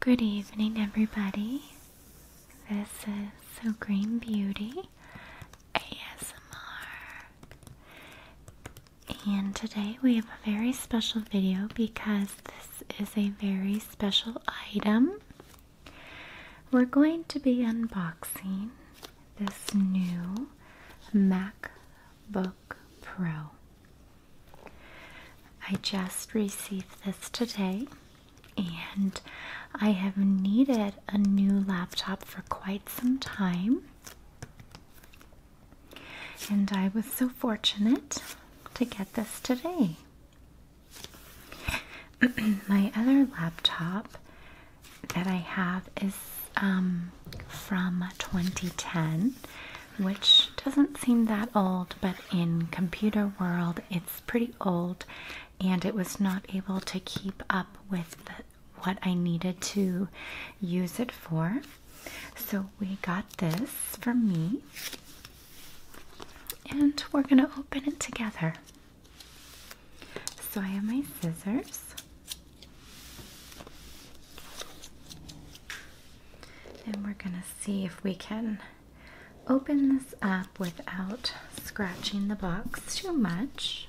Good evening, everybody. This is Green Beauty ASMR. And today we have a very special video because this is a very special item. We're going to be unboxing this new MacBook Pro. I just received this today and I have needed a new laptop for quite some time. And I was so fortunate to get this today. My other laptop that I have is um, from 2010 which doesn't seem that old, but in computer world it's pretty old and it was not able to keep up with what I needed to use it for. So we got this for me and we're going to open it together. So I have my scissors. And we're going to see if we can open this up without scratching the box too much.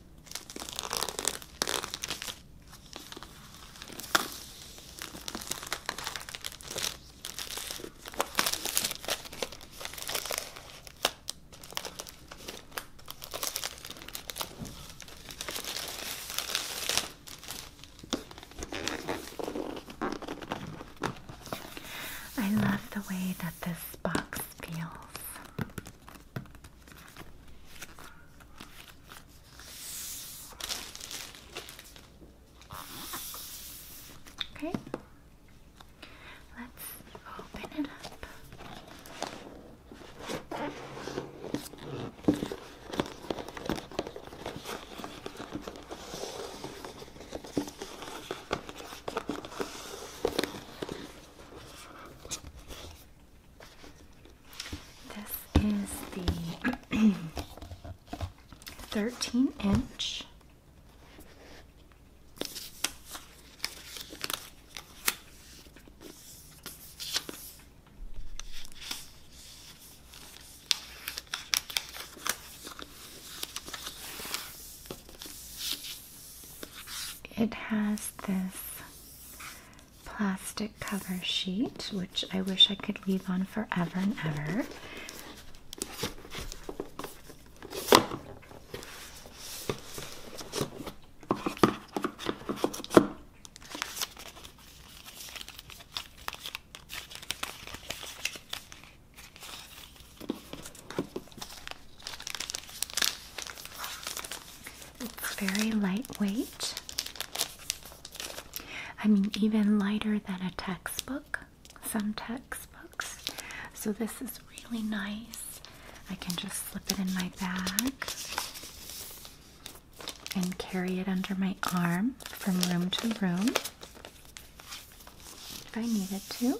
I love the way that this box feels. Okay, let's open it up. This is the 13 inch. It has this plastic cover sheet, which I wish I could leave on forever and ever. It's very lightweight. I mean, even lighter than a textbook, some textbooks. So, this is really nice. I can just slip it in my bag and carry it under my arm from room to room if I needed to.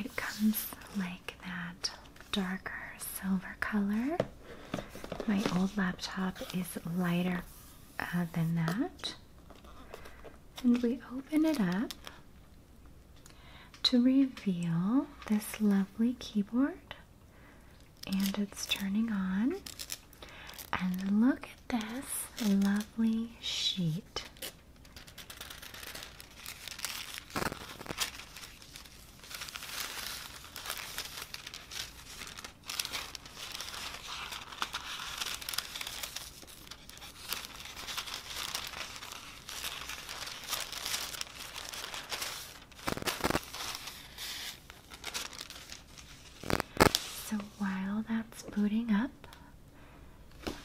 It comes like that darker silver color. My old laptop is lighter uh, than that. And we open it up to reveal this lovely keyboard and it's turning on. And look at this lovely sheet. So while that's booting up,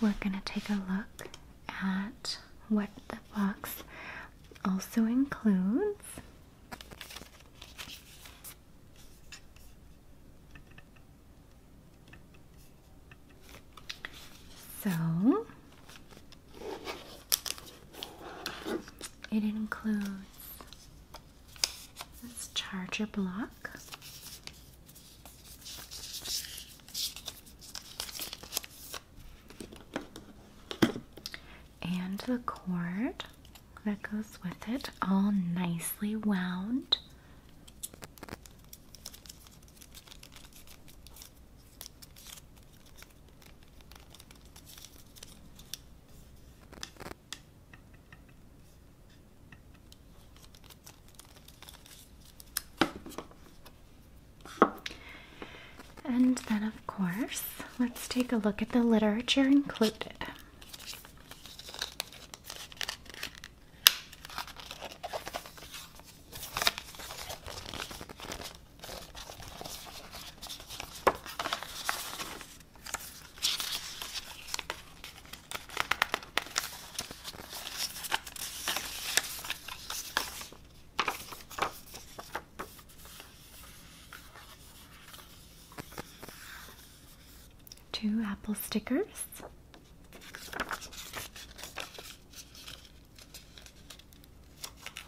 we're going to take a look at what the box also includes. So, it includes this charger block. And the cord that goes with it, all nicely wound. And then, of course, let's take a look at the literature included. Two apple stickers.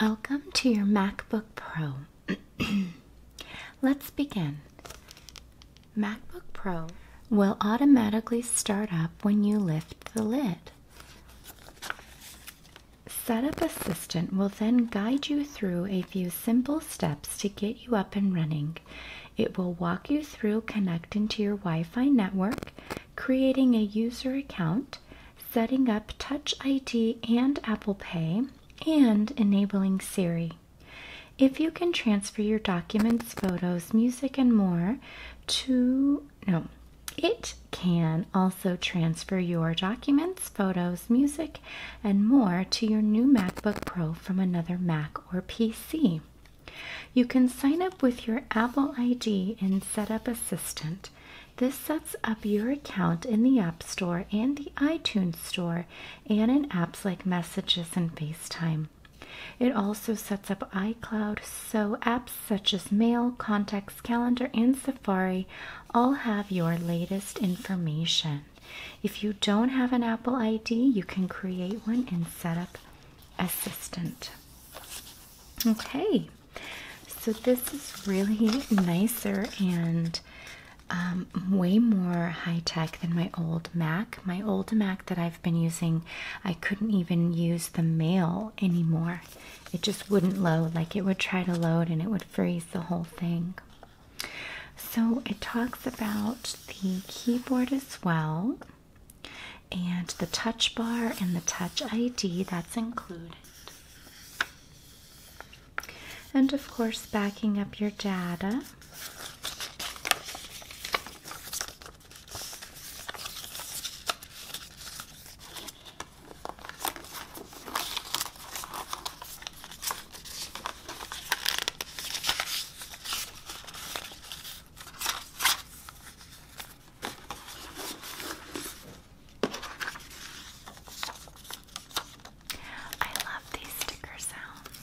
Welcome to your MacBook Pro. Let's begin. MacBook Pro will automatically start up when you lift the lid. Setup Assistant will then guide you through a few simple steps to get you up and running. It will walk you through connecting to your Wi Fi network, creating a user account, setting up Touch ID and Apple Pay, and enabling Siri. If you can transfer your documents, photos, music, and more to, no, it can also transfer your documents, photos, music, and more to your new MacBook Pro from another Mac or PC. You can sign up with your Apple ID and Setup Assistant. This sets up your account in the App Store and the iTunes Store and in apps like Messages and FaceTime. It also sets up iCloud, so apps such as Mail, Contacts, Calendar, and Safari all have your latest information. If you don't have an Apple ID, you can create one in Setup Assistant. Okay, so this is really nicer and um, way more high tech than my old Mac. My old Mac that I've been using, I couldn't even use the mail anymore. It just wouldn't load, like it would try to load and it would freeze the whole thing. So it talks about the keyboard as well and the touch bar and the touch ID that's included. And of course, backing up your data. I love these sticker sounds.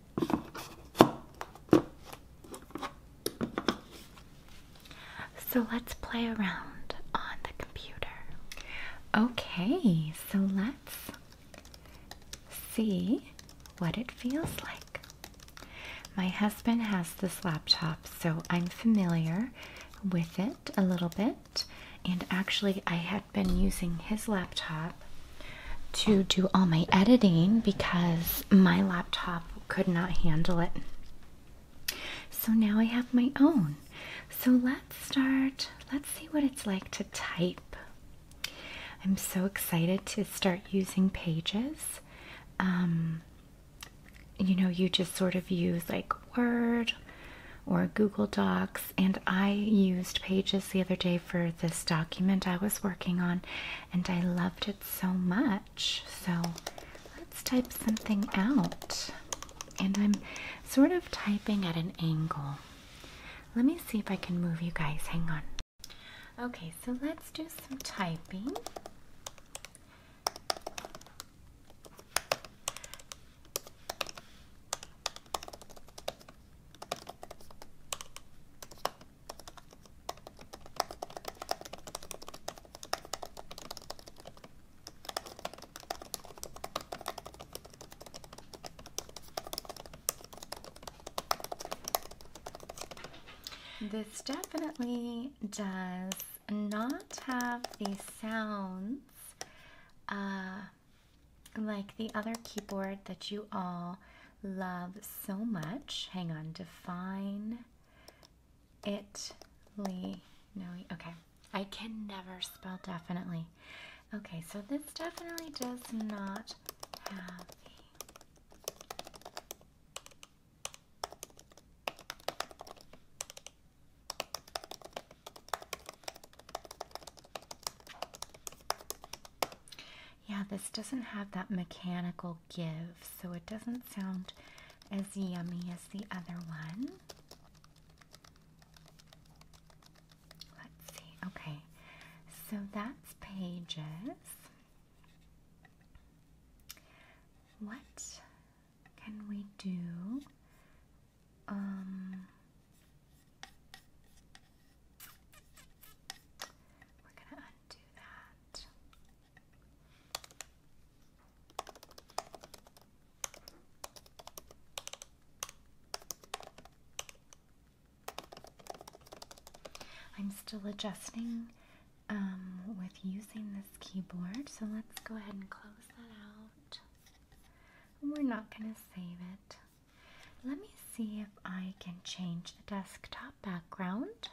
So let's play around on the computer. Okay, so let's see what it feels like. My husband has this laptop, so I'm familiar with it a little bit. And actually, I had been using his laptop to do all my editing because my laptop could not handle it. So now I have my own. So let's start. Let's see what it's like to type. I'm so excited to start using pages. Um, you know, you just sort of use like Word or Google Docs, and I used Pages the other day for this document I was working on, and I loved it so much. So let's type something out. And I'm sort of typing at an angle. Let me see if I can move you guys. Hang on. Okay, so let's do some typing. This definitely does not have the sounds uh, like the other keyboard that you all love so much. Hang on, define Italy. No, okay. I can never spell definitely. Okay, so this definitely does not have yeah, this doesn't have that mechanical give, so it doesn't sound as yummy as the other one. Let's see. Okay, so that's pages. What can we do? Um, we're going to undo that. I'm still adjusting um, with using this keyboard, so let's go ahead and close that out. We're not going to save it. Let me see if I can change the desktop background.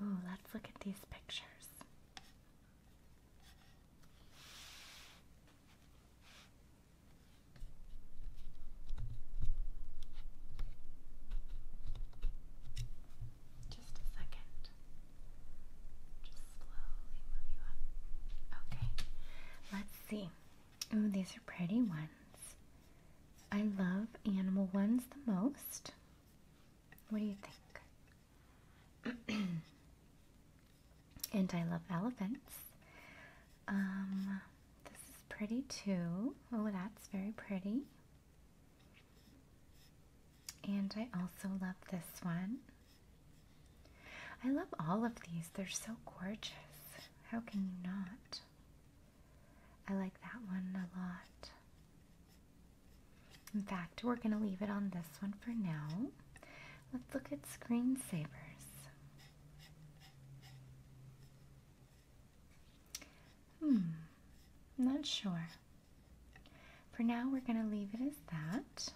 Ooh, let's look at these pictures. Just a second. Just slowly move you up. Okay. Let's see. Ooh, these are pretty ones. I love animal ones the most. What do you think? and I love elephants. Um, this is pretty too. Oh, that's very pretty. And I also love this one. I love all of these. They're so gorgeous. How can you not? I like that one a lot. In fact, we're going to leave it on this one for now. Let's look at screensavers. Hmm, not sure. For now, we're going to leave it as that.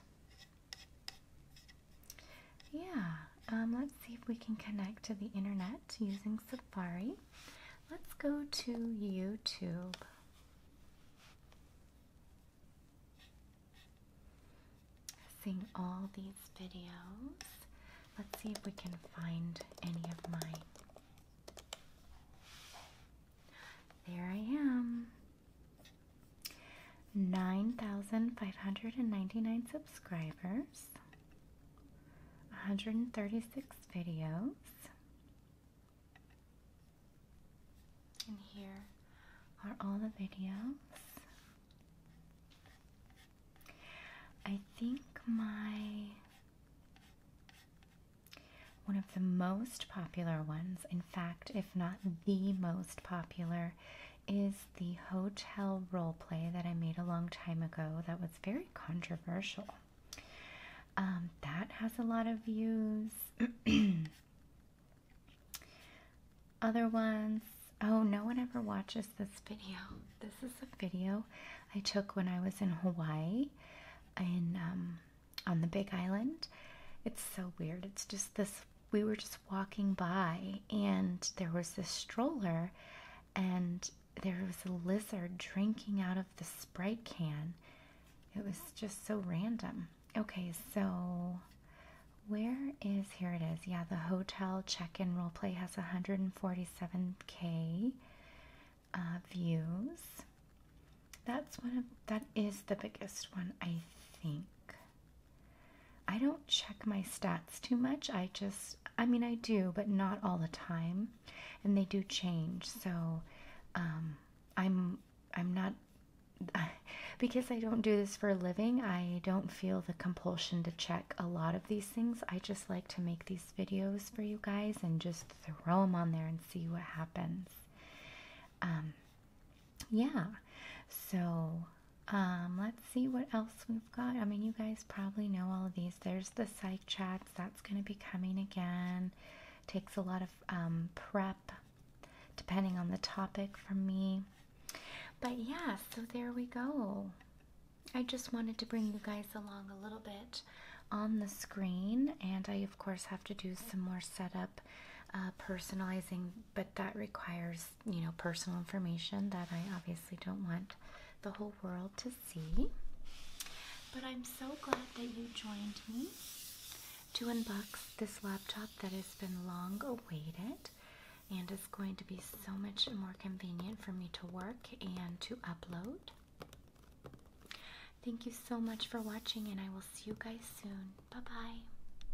Yeah, um, let's see if we can connect to the internet using Safari. Let's go to YouTube. Seeing all these videos. Let's see if we can find any of mine. There I am. 9,599 subscribers, 136 videos, and here are all the videos. I think my one of the most popular ones, in fact, if not the most popular is the hotel roleplay that I made a long time ago that was very controversial. Um, that has a lot of views. Other ones, oh, no one ever watches this video. This is a video I took when I was in Hawaii in um, on the Big Island. It's so weird. It's just this we were just walking by and there was this stroller and there was a lizard drinking out of the Sprite can. It was just so random. Okay, so where is here it is? Yeah, the hotel check-in role play has 147k uh, views. That's one of that is the biggest one I think. I don't check my stats too much. I just, I mean, I do, but not all the time, and they do change. So, um, I'm, I'm not, because I don't do this for a living. I don't feel the compulsion to check a lot of these things. I just like to make these videos for you guys and just throw them on there and see what happens. Um, yeah so um, let's see what else we've got i mean you guys probably know all of these there's the psych chats that's going to be coming again takes a lot of um, prep depending on the topic for me but yeah so there we go i just wanted to bring you guys along a little bit on the screen and i of course have to do some more setup uh, personalizing but that requires you know, personal information that I obviously don't want the whole world to see. But I'm so glad that you joined me to unbox this laptop that has been long awaited and it's going to be so much more convenient for me to work and to upload. Thank you so much for watching, and I will see you guys soon. Bye bye.